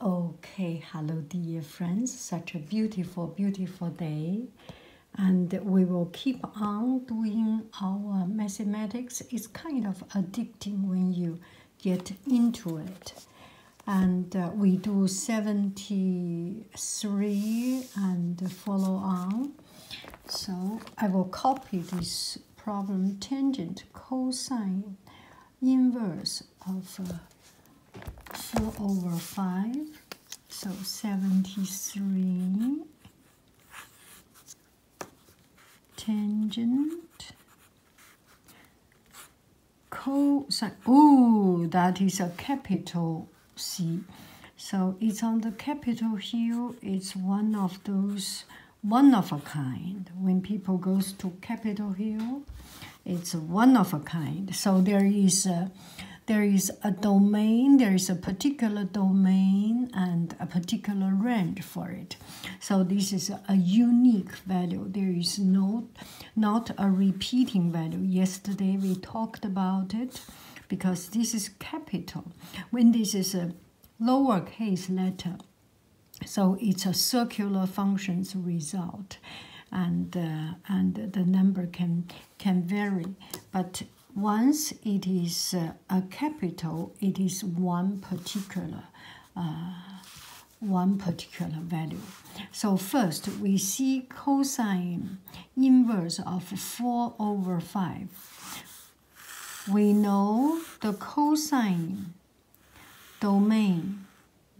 Okay, hello, dear friends. Such a beautiful, beautiful day. And we will keep on doing our mathematics. It's kind of addicting when you get into it. And uh, we do 73 and follow on. So I will copy this problem tangent cosine inverse of uh, 4 over 5, so 73 tangent cosine. Oh, that is a capital C. So it's on the Capitol Hill. It's one of those one of a kind. When people goes to Capitol Hill, it's one of a kind. So there is a, there is a domain, there is a particular domain and a particular range for it. So this is a unique value. There is no, not a repeating value. Yesterday we talked about it because this is capital. When this is a lowercase letter, so it's a circular functions result, and uh, and the number can can vary. But once it is uh, a capital, it is one particular uh, one particular value. So first we see cosine inverse of 4 over 5. We know the cosine domain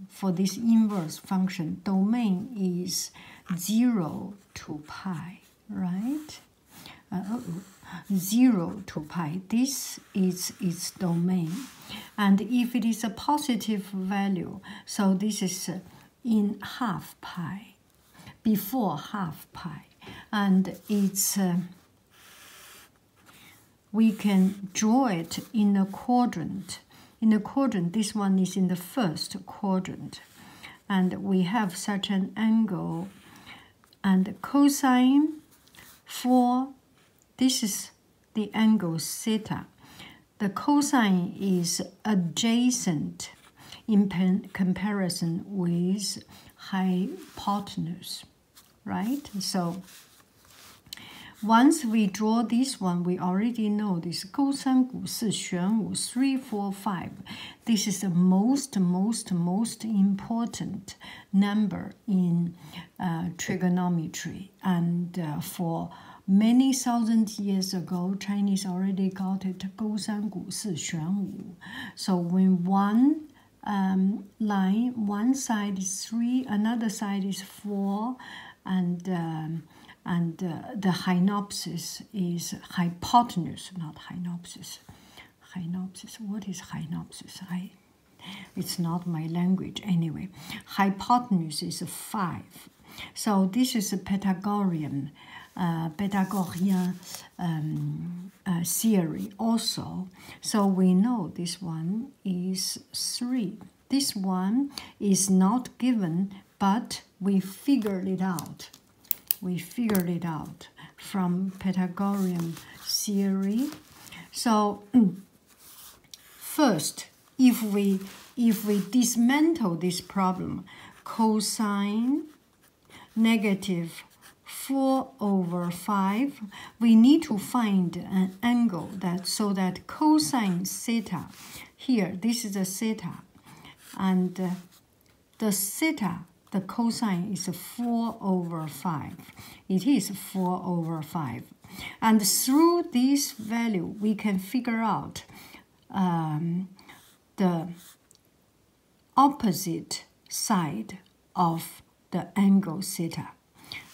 for this inverse function, domain is 0 to pi, right? Uh, uh, uh, 0 to pi. This is its domain. And if it is a positive value, so this is in half pi, before half pi. And it's we can draw it in a quadrant. In a quadrant, this one is in the first quadrant. And we have such an angle. And cosine For this is the angle theta. The cosine is adjacent in comparison with hypotenuse right? So once we draw this one, we already know this 勾三股四玄武 three, four, five. This is the most, most, most important number in uh, trigonometry. And uh, for many thousand years ago, Chinese already got it 勾三股四玄武. So when one um, line. One side is three, another side is four, and um, and uh, the hynopsis is hypotenuse, not hynopsis. Hynopsis. What is hynopsis? I. It's not my language anyway. Hypotenuse is five. So this is a Pythagorean, uh, Pythagorean um, uh, theory also. So we know this one is 3. This one is not given, but we figured it out. We figured it out from Pythagorean theory. So first, if we if we dismantle this problem, cosine negative 4 over 5, we need to find an angle that so that cosine theta, here this is the theta, and uh, the theta, the cosine is 4 over 5. It is 4 over 5. And through this value, we can figure out um, the opposite side of the angle theta.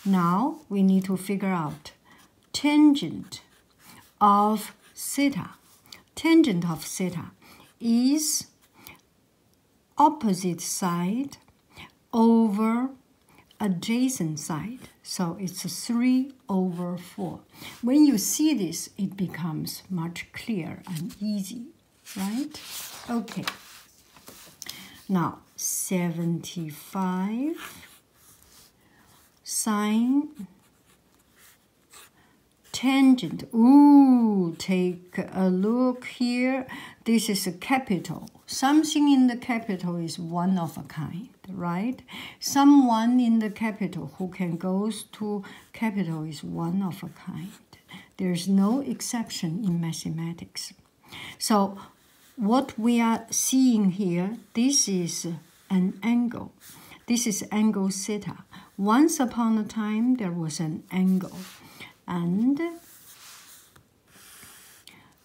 Now we need to figure out tangent of theta. Tangent of theta is opposite side over adjacent side. So it's 3 over 4. When you see this, it becomes much clearer and easy right? Okay. Now, 75 sine tangent. Ooh, take a look here. This is a capital. Something in the capital is one of a kind, right? Someone in the capital who can goes to capital is one of a kind. There's no exception in mathematics. So what we are seeing here, this is an angle. This is angle theta. Once upon a time, there was an angle. And,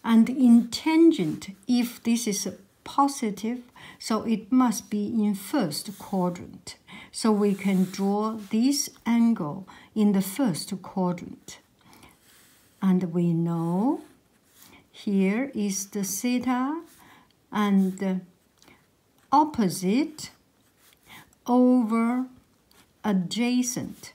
and in tangent, if this is positive, so it must be in first quadrant. So we can draw this angle in the first quadrant. And we know here is the theta and opposite over adjacent.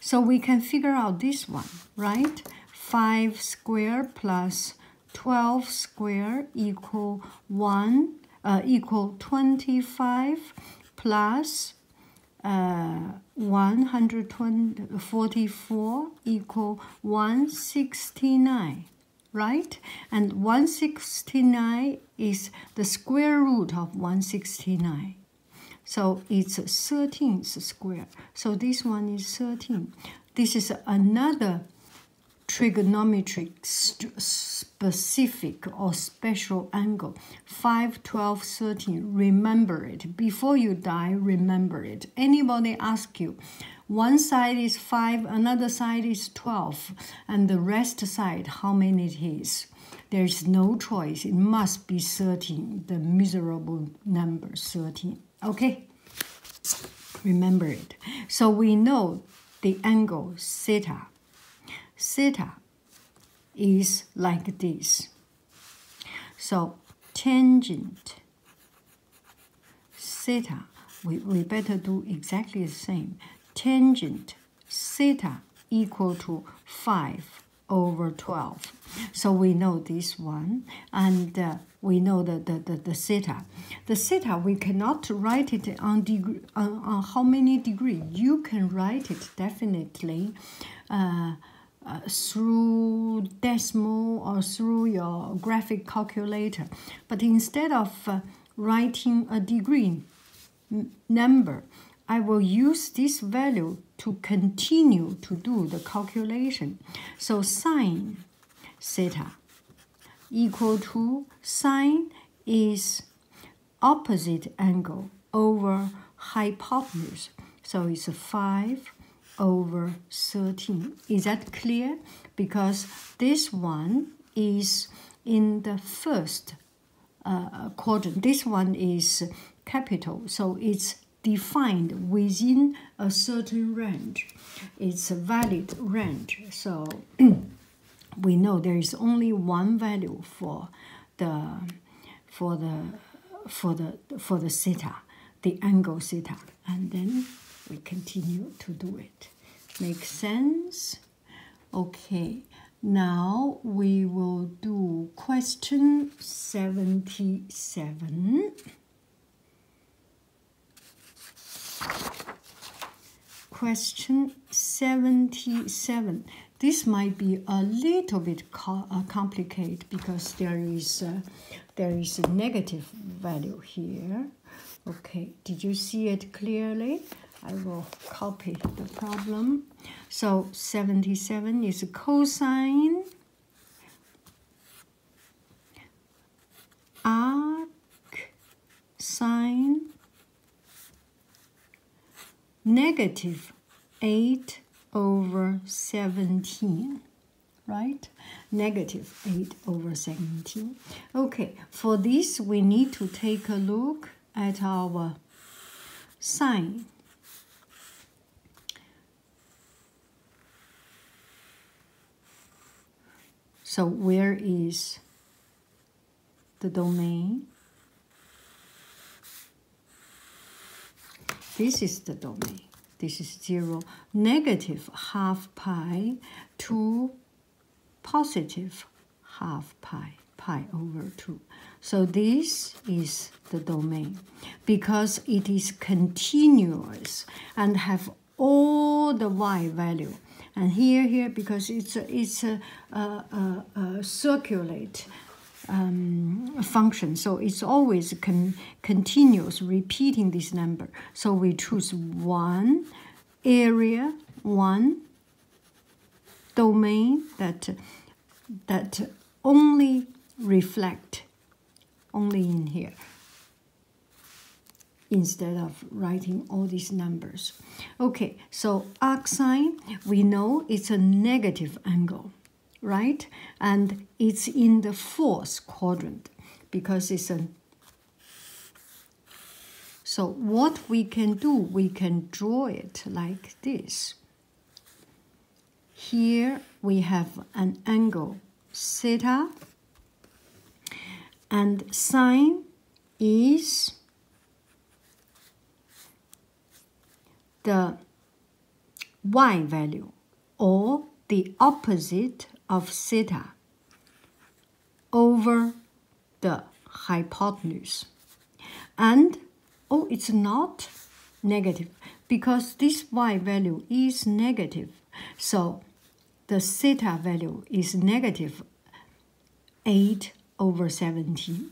So we can figure out this one, right? 5 square plus 12 square equal 1 uh, equal 25 plus uh, 144 equal 169 right and 169 is the square root of 169 so it's 13th square so this one is 13 this is another trigonometric specific or special angle. 5, 12, 13, remember it. Before you die, remember it. Anybody ask you, one side is 5, another side is 12, and the rest side, how many it is. There's no choice. It must be 13, the miserable number 13. Okay? Remember it. So we know the angle theta. Theta is like this. So tangent theta, we, we better do exactly the same. Tangent theta equal to 5 over 12. So we know this one, and uh, we know the, the, the, theta. The theta, we cannot write it on deg on how many degrees you can write it definitely uh, uh, through decimal or through your graphic calculator. But instead of uh, writing a degree number, I will use this value to continue to do the calculation. So sine theta equal to sine is opposite angle over hypotenuse. So it's 5 over 13. Is that clear? Because this one is in the first uh, quadrant. This one is capital, so it's defined within a certain range. It's a valid range. So we know there is only one value for the for the for the for the theta, the angle theta, and then we continue to do it. Makes sense? Okay. Now we will do question 77. Question 77. This might be a little bit co uh, complicated because there is, a, uh, there is a negative value here. Okay, did you see it clearly? I will copy the problem. So 77 is cosine arc sine negative 8 over 17 right? Negative 8 over 17. Okay, for this, we need to take a look at our sine. So where is the domain. This is the domain. This is 0, negative half pi to positive half pi, pi over 2. So this is the domain because it is continuous and have all the y value and here, here, because it's a, it's a, circulate um, function. So it's always con continuous repeating this number. So we choose one area, one domain that that only reflect only in here instead of writing all these numbers. Okay, so arcsine, we know it's a negative angle, right? And it's in the fourth quadrant because it's a so what we can do, we can draw it like this. Here we have an angle theta and sine is the y value or the opposite of theta over the hypotenuse. And, oh, it's not negative because this y value is negative. So the theta value is negative 8 over 17.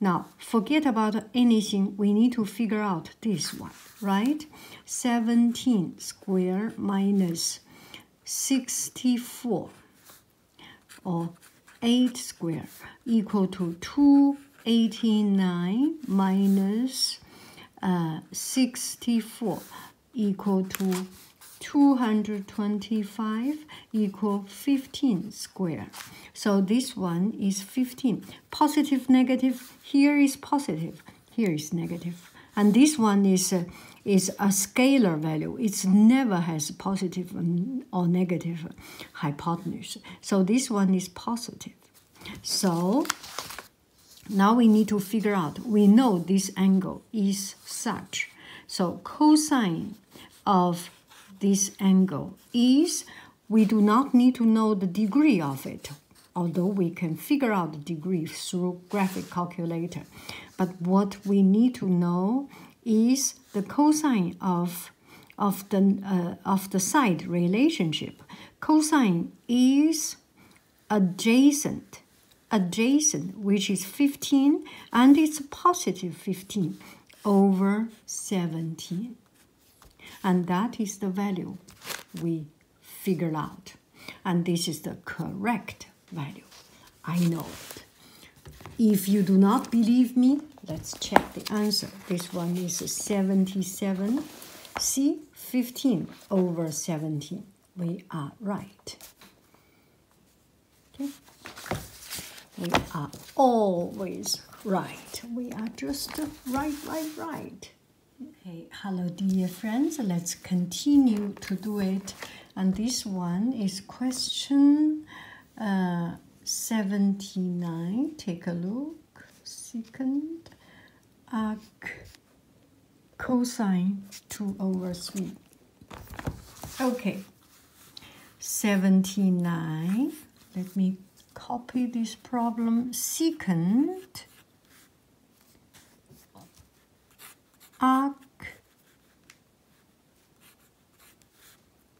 Now, forget about anything. We need to figure out this one, right? 17 square minus 64 or 8 square equal to 289 minus, uh, 64 equal to 225 equal 15 square. So this one is 15. Positive, negative, here is positive, here is negative. And this one is a, uh, is a scalar value. It's never has positive or negative hypotenuse. So this one is positive. So now we need to figure out, we know this angle is such. So cosine of this angle is, we do not need to know the degree of it, although we can figure out the degree through graphic calculator. But what we need to know is the cosine of of the uh, of the side relationship. Cosine is adjacent adjacent, which is 15, and it's positive 15 over 17. And that is the value we figure out. And this is the correct value. I know it. If you do not believe me, let's check the answer. This one is 77. C, 15 over 17. We are right. Okay? We are always right. We are just right, right, right. Hey, hello, dear friends. Let's continue to do it. And this one is question uh, 79. Take a look. Second arc cosine 2 over 3. Okay, 79. Let me copy this problem. Secant arc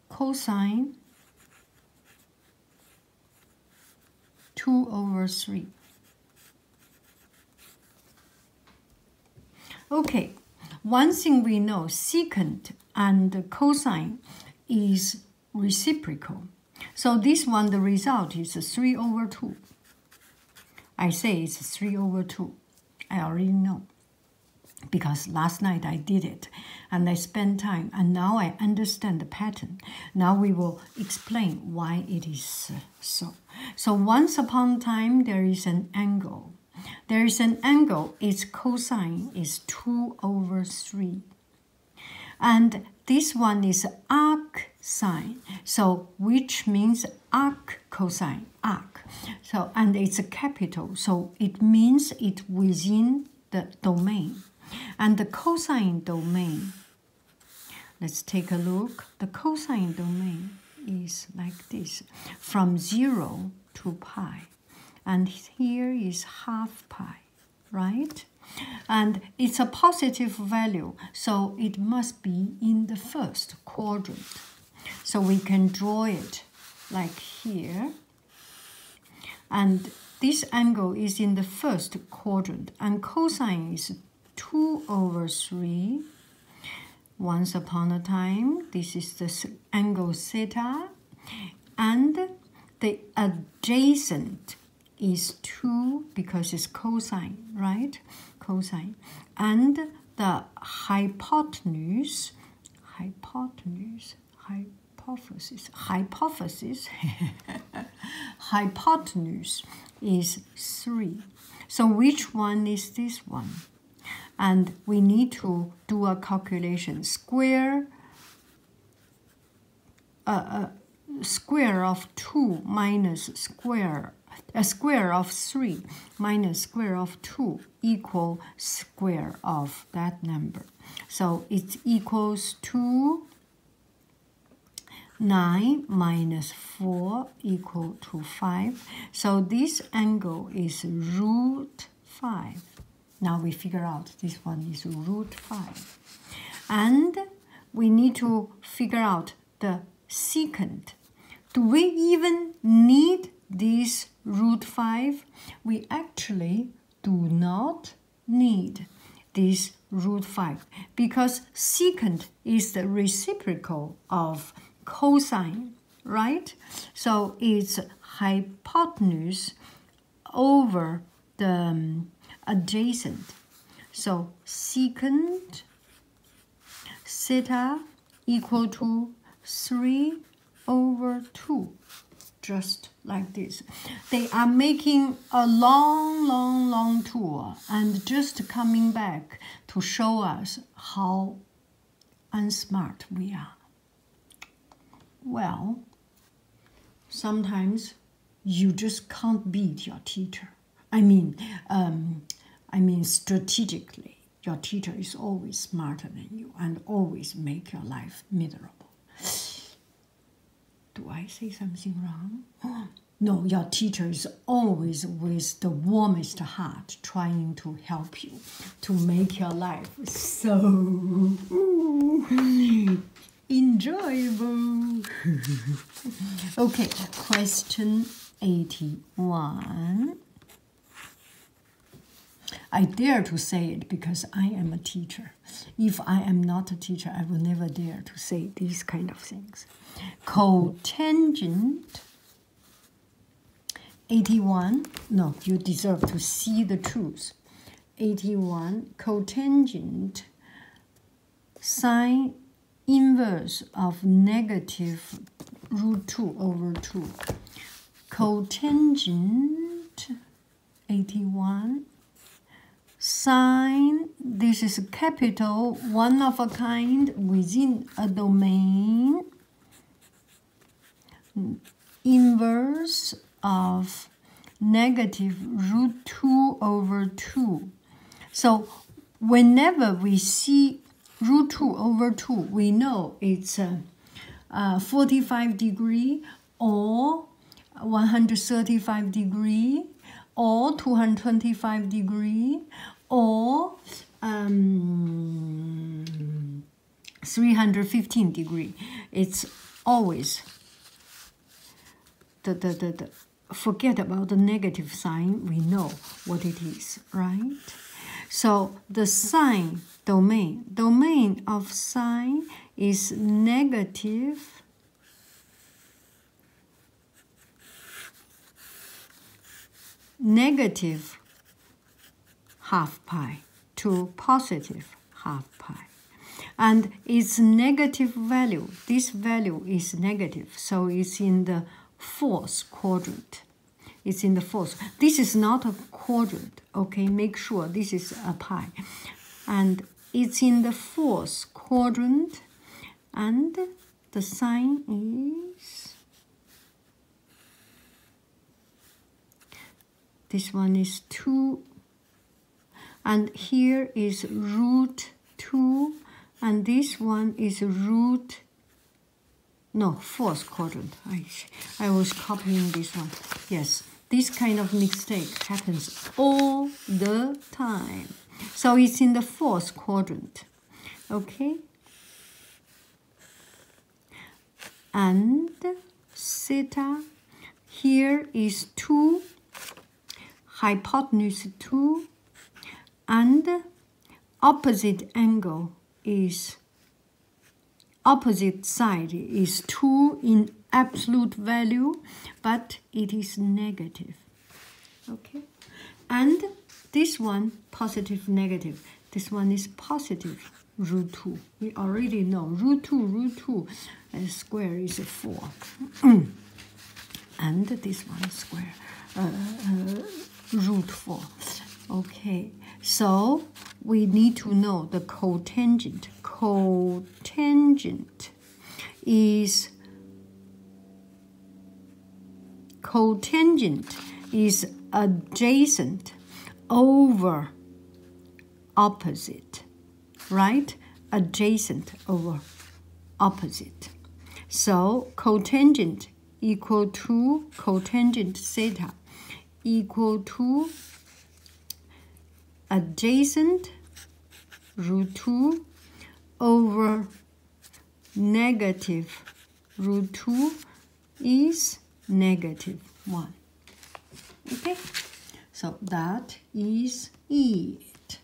cosine 2 over 3. Okay, one thing we know, secant and cosine is reciprocal. So this one, the result is 3 over 2. I say it's 3 over 2. I already know because last night I did it and I spent time and now I understand the pattern. Now we will explain why it is so. So once upon a time, there is an angle. There is an angle, its cosine is 2 over 3. And this one is arc sine, so which means arc cosine, arc. So, and it's a capital, so it means it within the domain. And the cosine domain Let's take a look. The cosine domain is like this from 0 to pi. And here is half pi, right? And it's a positive value, so it must be in the first quadrant. So we can draw it like here. And this angle is in the first quadrant, and cosine is 2 over 3. Once upon a time, this is the angle theta, and the adjacent is 2 because it's cosine, right? Cosine. And the hypotenuse, hypotenuse, hypothesis, hypothesis, hypotenuse is 3. So which one is this one? And we need to do a calculation. Square, uh, uh, square of 2 minus square a square of 3 minus square of 2 equal square of that number. So it equals to 9 minus 4 equal to 5. So this angle is root 5. Now we figure out this one is root 5. And we need to figure out the secant. Do we even need this root 5? We actually do not need this root 5 because secant is the reciprocal of cosine, right? So it's hypotenuse over the um, adjacent. So secant theta equal to 3 over 2 just like this. They are making a long, long, long tour and just coming back to show us how unsmart we are. Well, sometimes you just can't beat your teacher. I mean, um, I mean strategically, your teacher is always smarter than you and always make your life miserable. Do I say something wrong? No, your teacher is always with the warmest heart trying to help you to make your life so enjoyable. okay, question 81. I dare to say it because I am a teacher. If I am not a teacher, I will never dare to say these kind of things. Cotangent 81. No, you deserve to see the truth. 81. Cotangent sine inverse of negative root 2 over 2. Cotangent 81 sign, this is capital, one of a kind within a domain, inverse of negative root 2 over 2. So whenever we see root 2 over 2, we know it's a, uh, uh, 45 degree or 135 degree or 225 degree or um, 315 degree it's always the, the, the forget about the negative sign we know what it is right so the sign domain domain of sign is negative negative half pi to positive half pi. And its negative value, this value is negative, so it's in the fourth quadrant. It's in the fourth. This is not a quadrant, okay? Make sure this is a pi. And it's in the fourth quadrant and the sign is this one is 2 and here is root 2 and this one is root no fourth quadrant I, I was copying this one yes this kind of mistake happens all the time so it's in the fourth quadrant. Okay? And theta here is 2, hypotenuse 2, and opposite angle is opposite side is 2 in absolute value, but it is negative okay and this one positive negative this one is positive root 2 we already know root 2 root 2 uh, square is a 4 and this one square uh, uh, root 4 okay so we need to know the cotangent cotangent is cotangent, is adjacent, over, opposite, right? Adjacent over opposite. So cotangent equal to cotangent theta equal to adjacent root 2 over negative root 2 is negative 1. Okay, so that is it.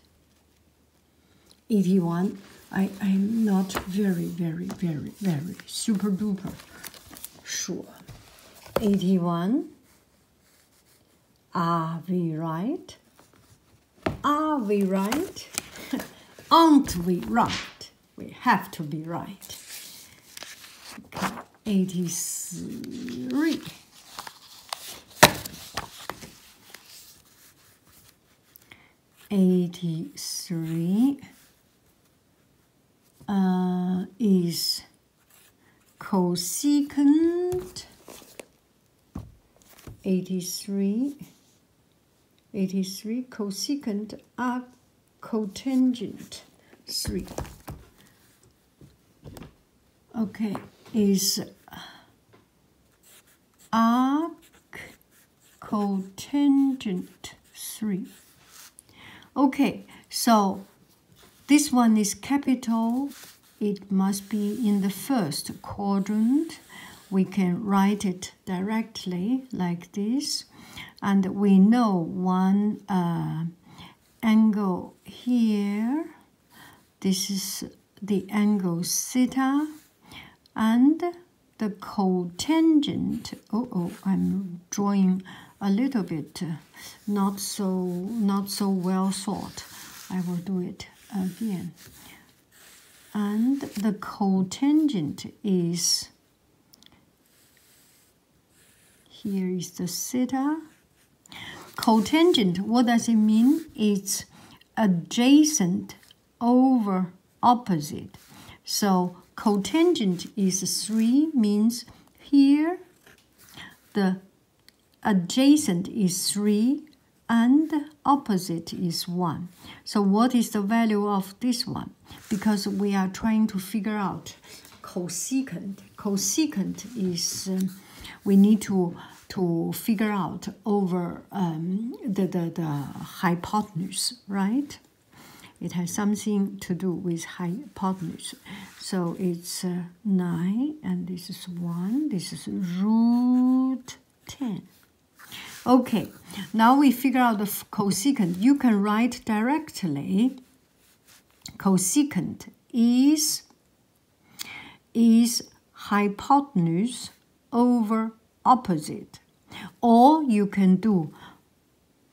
81, I, I'm not very, very, very, very super duper sure. 81 are we right? Are we right? Aren't we right? We have to be right. 83. Eighty-three uh, is cosecant 83, 83 cosecant arc cotangent 3. Okay, is arc cotangent 3. Okay, so this one is capital. It must be in the first quadrant. We can write it directly like this. And we know one uh, angle here. This is the angle theta and the cotangent. Oh, oh, I'm drawing a little bit uh, not so not so well thought, I will do it again. And the cotangent is here is the theta. Cotangent, what does it mean? It's adjacent over opposite. So cotangent is 3 means here the adjacent is 3 and opposite is 1. So what is the value of this one? Because we are trying to figure out cosecant. Cosecant is, um, we need to, to figure out over um, the, the, the hypotenuse, right? It has something to do with hypotenuse. So it's uh, 9 and this is 1 this is root 10 okay now we figure out the cosecant you can write directly cosecant is is hypotenuse over opposite or you can do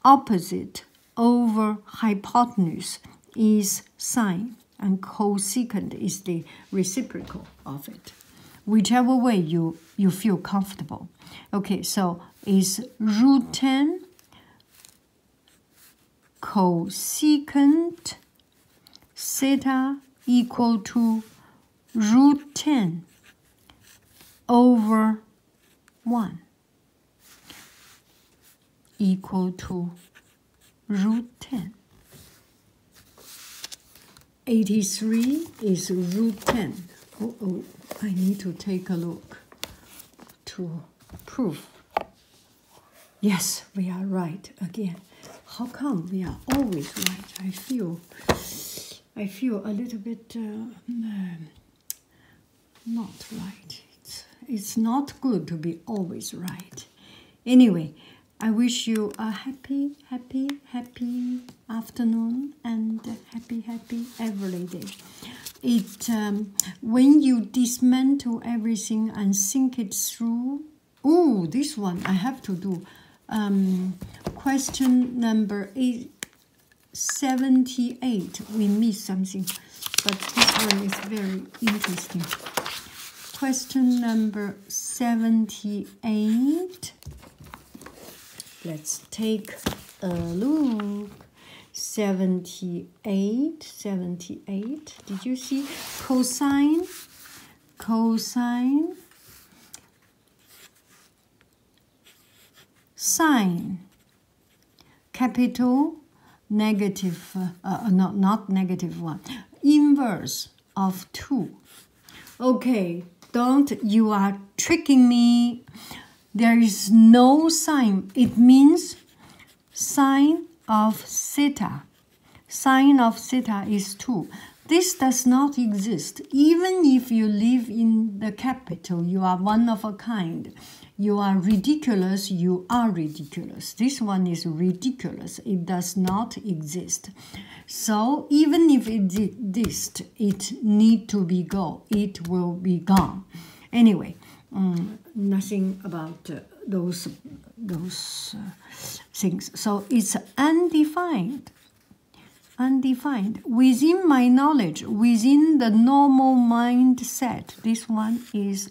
opposite over hypotenuse is sine and cosecant is the reciprocal of it. Whichever way you, you feel comfortable. Okay, so is root 10 cosecant theta equal to root 10 over 1 equal to root 10. 83 is root 10. Oh, oh, I need to take a look to prove. Yes, we are right again. How come we are always right? I feel, I feel a little bit uh, mm, not right. It's, not good to be always right. Anyway, I wish you a happy, happy, happy afternoon and happy, happy every day. It um, when you dismantle everything and think it through. Oh, this one I have to do. Um, question number eight, 78. We missed something but this one is very interesting. Question number 78. Let's take a look. 78, 78. Did you see cosine? Cosine. Sine capital negative, uh, not, not negative one, inverse of 2. Okay, don't, you are tricking me. There is no sign. It means sign of theta. Sine of theta is 2. This does not exist. Even if you live in the capital, you are one of a kind. You are ridiculous, you are ridiculous. This one is ridiculous, it does not exist. So even if it exists, it need to be gone. It will be gone. Anyway, mm, nothing about uh, those those uh, things. So it's undefined, undefined within my knowledge, within the normal mindset. This one is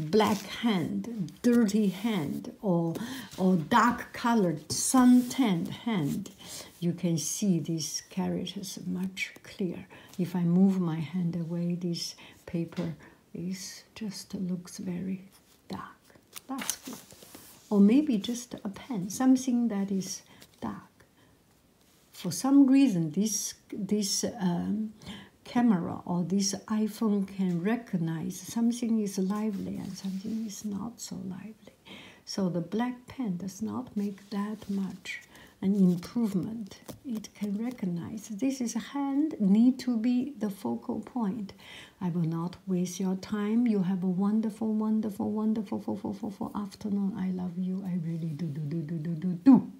black hand, dirty hand, or, or dark colored, suntanned hand, you can see these characters much clearer. If I move my hand away, this paper is just looks very dark. That's good. Or maybe just a pen, something that is dark. For some reason, this, this um, camera or this iPhone can recognize something is lively and something is not so lively. So the black pen does not make that much an improvement. It can recognize this is a hand need to be the focal point. I will not waste your time. You have a wonderful, wonderful, wonderful, wonderful, wonderful afternoon. I love you. I really do, do, do, do, do, do, do.